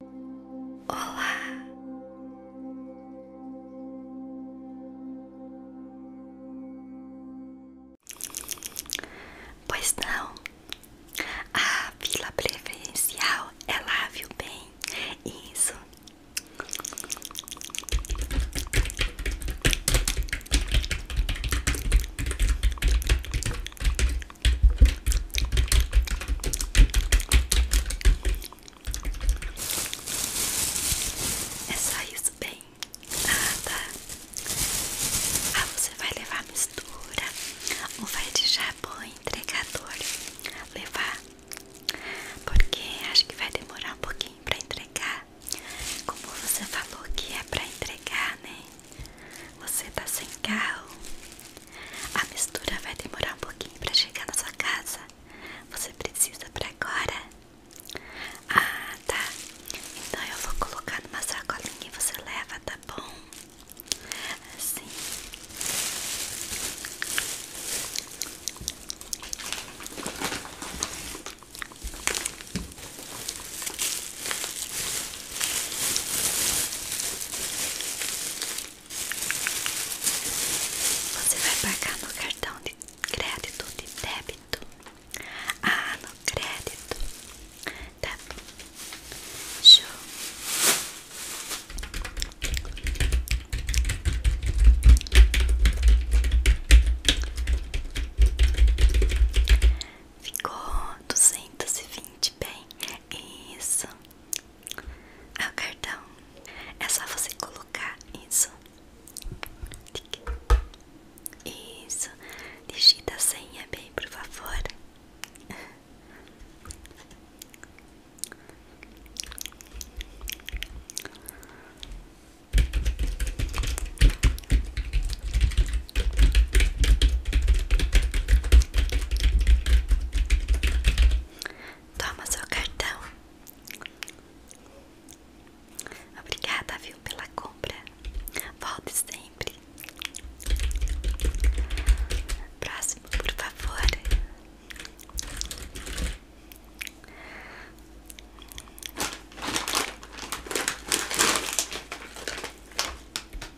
Olá. Pois não. A vila preferencial é lá, viu bem? Isso. É só isso, bem? nada. Ah, você vai levar mistura ou vai de jabô entregador levar? Porque acho que vai demorar um pouquinho pra entregar. Como você falou que é pra entregar, né? Você tá sem carro. A mistura vai demorar um pouquinho para chegar na sua casa. Você precisa para agora? Ah, tá. Então eu vou colocar numa sacolinha e você leva, tá bom? Assim. Você vai pagar no cartão de crédito de débito? Ah, no crédito. Tá bom. Show. Ficou duzentos e vinte. Muito bem, isso é o cartão. É só você colocar isso. Isso, digita a senha bem, por favor. Toma seu cartão. Obrigada, viu, pela compra. Volte sempre. Próximo, por favor.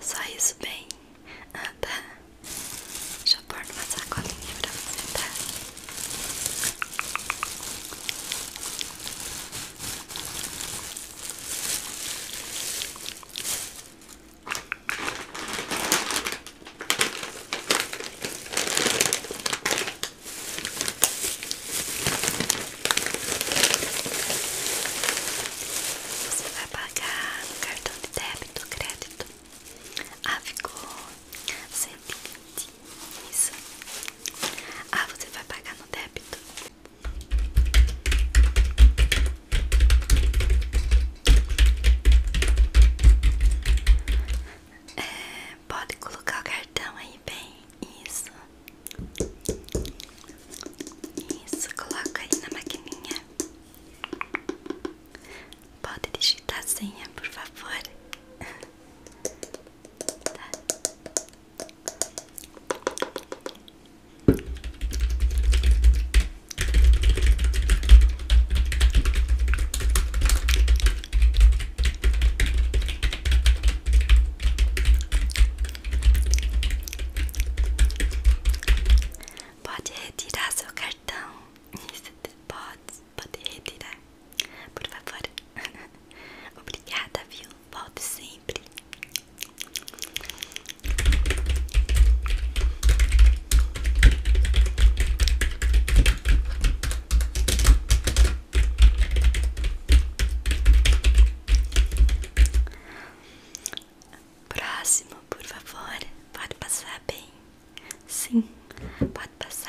Só isso bem. Ah, tá. Deixa eu pôr numa sacolinha pra você, tá? Você vai pagar no cartão de débito ou crédito? Ah, ficou 120. Isso. Ah, você vai pagar no débito? É, pode colocar o cartão aí bem. Isso. Isso, coloca aí na maquininha. Pode digitar a senha, por favor. Tá. Pode retirar seu cartão. pode, pode retirar. Por favor. Obrigada, viu? Volte sempre. Próximo, por favor. Pode passar bem. Sim, pode passar.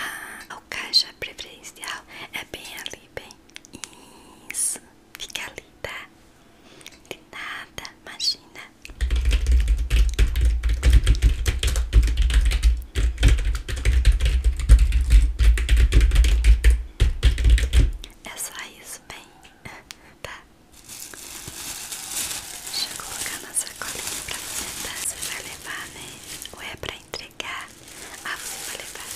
Ah, o caixa preferencial é bem ali, bem. Isso, fica ali, tá? De nada, imagina. É só isso, bem? Tá. Deixa eu colocar nossa sacolinha pra você, tá? Você vai levar, né? Ou é pra entregar? a ah, você vai levar.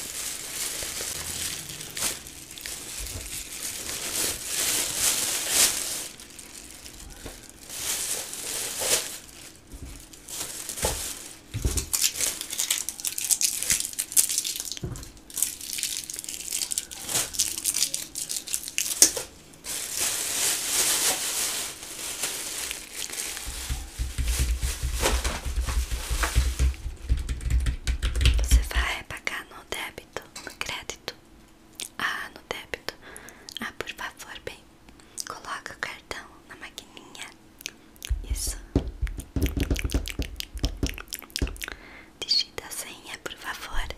Você vai pagar no débito, no crédito? Ah, no débito. Ah, por favor, bem. Coloca o cartão na maquininha. Isso. Digita a senha, por favor.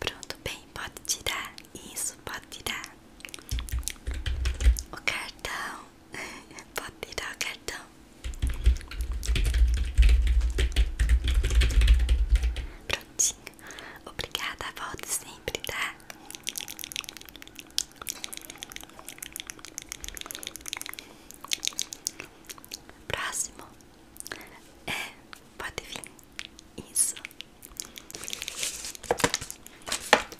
Pronto, bem, pode tirar. Isso, pode tirar o cartão. Pode tirar o cartão. Prontinho. Obrigada, volte sempre, tá? Próximo. É, pode vir. Isso.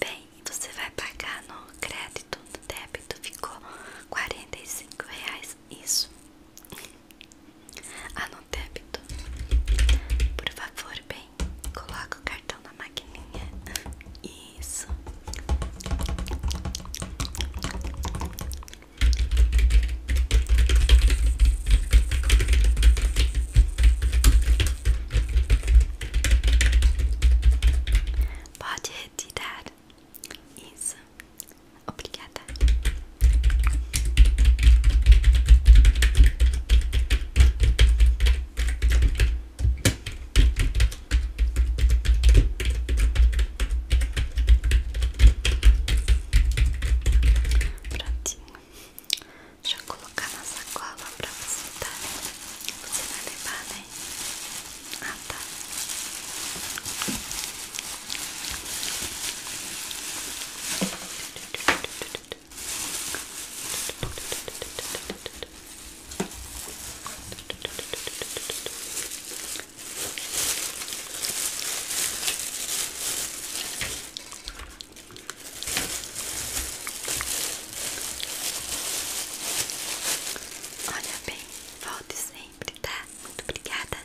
Bem, você vai pagar no crédito, no débito ficou 45 reais isso. Ah, no débito. Por favor, bem, coloca o cartão na maquininha. E isso. Pode retirar. Isso. Obrigada. Prontinho. Deixa eu colocar na sacola para você, tá? Você vai levar, né? Ah, tá. Olha bem, volte sempre, tá? Muito obrigada.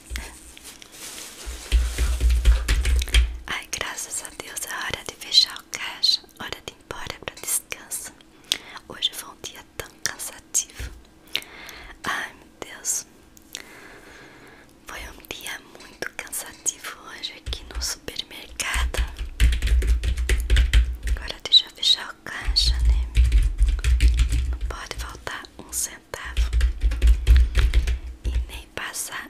Ai, graças a Deus, é hora de fechar o caixa, hora de ir embora para descanso. Hoje foi um dia tão cansativo. Ai meu Deus, foi um dia muito cansativo hoje aqui no supermercado. Agora deixa eu fechar o caixa, né? Não pode faltar um centavo e nem passar.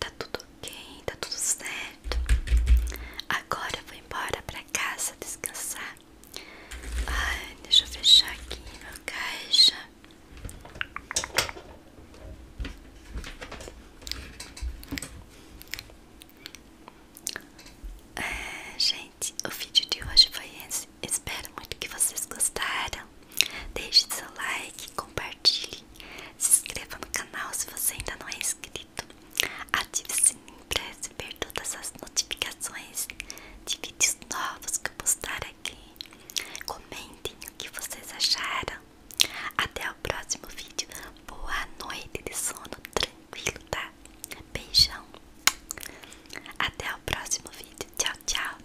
Tá tudo ok, tá tudo certo. Agora eu vou embora pra casa descansar. Ai, deixa eu fechar aqui meu caixa. É, gente, o vídeo de hoje foi esse. Espero muito que vocês gostaram. Deixe seu like, compartilhe se inscreva no canal se você ainda não é inscrito. Ative o sininho para receber todas as notificações de vídeos novos que eu postar aqui. Comentem o que vocês acharam. Até o próximo vídeo. Boa noite de sono tranquilo, tá? Beijão. Até o próximo vídeo. Tchau, tchau.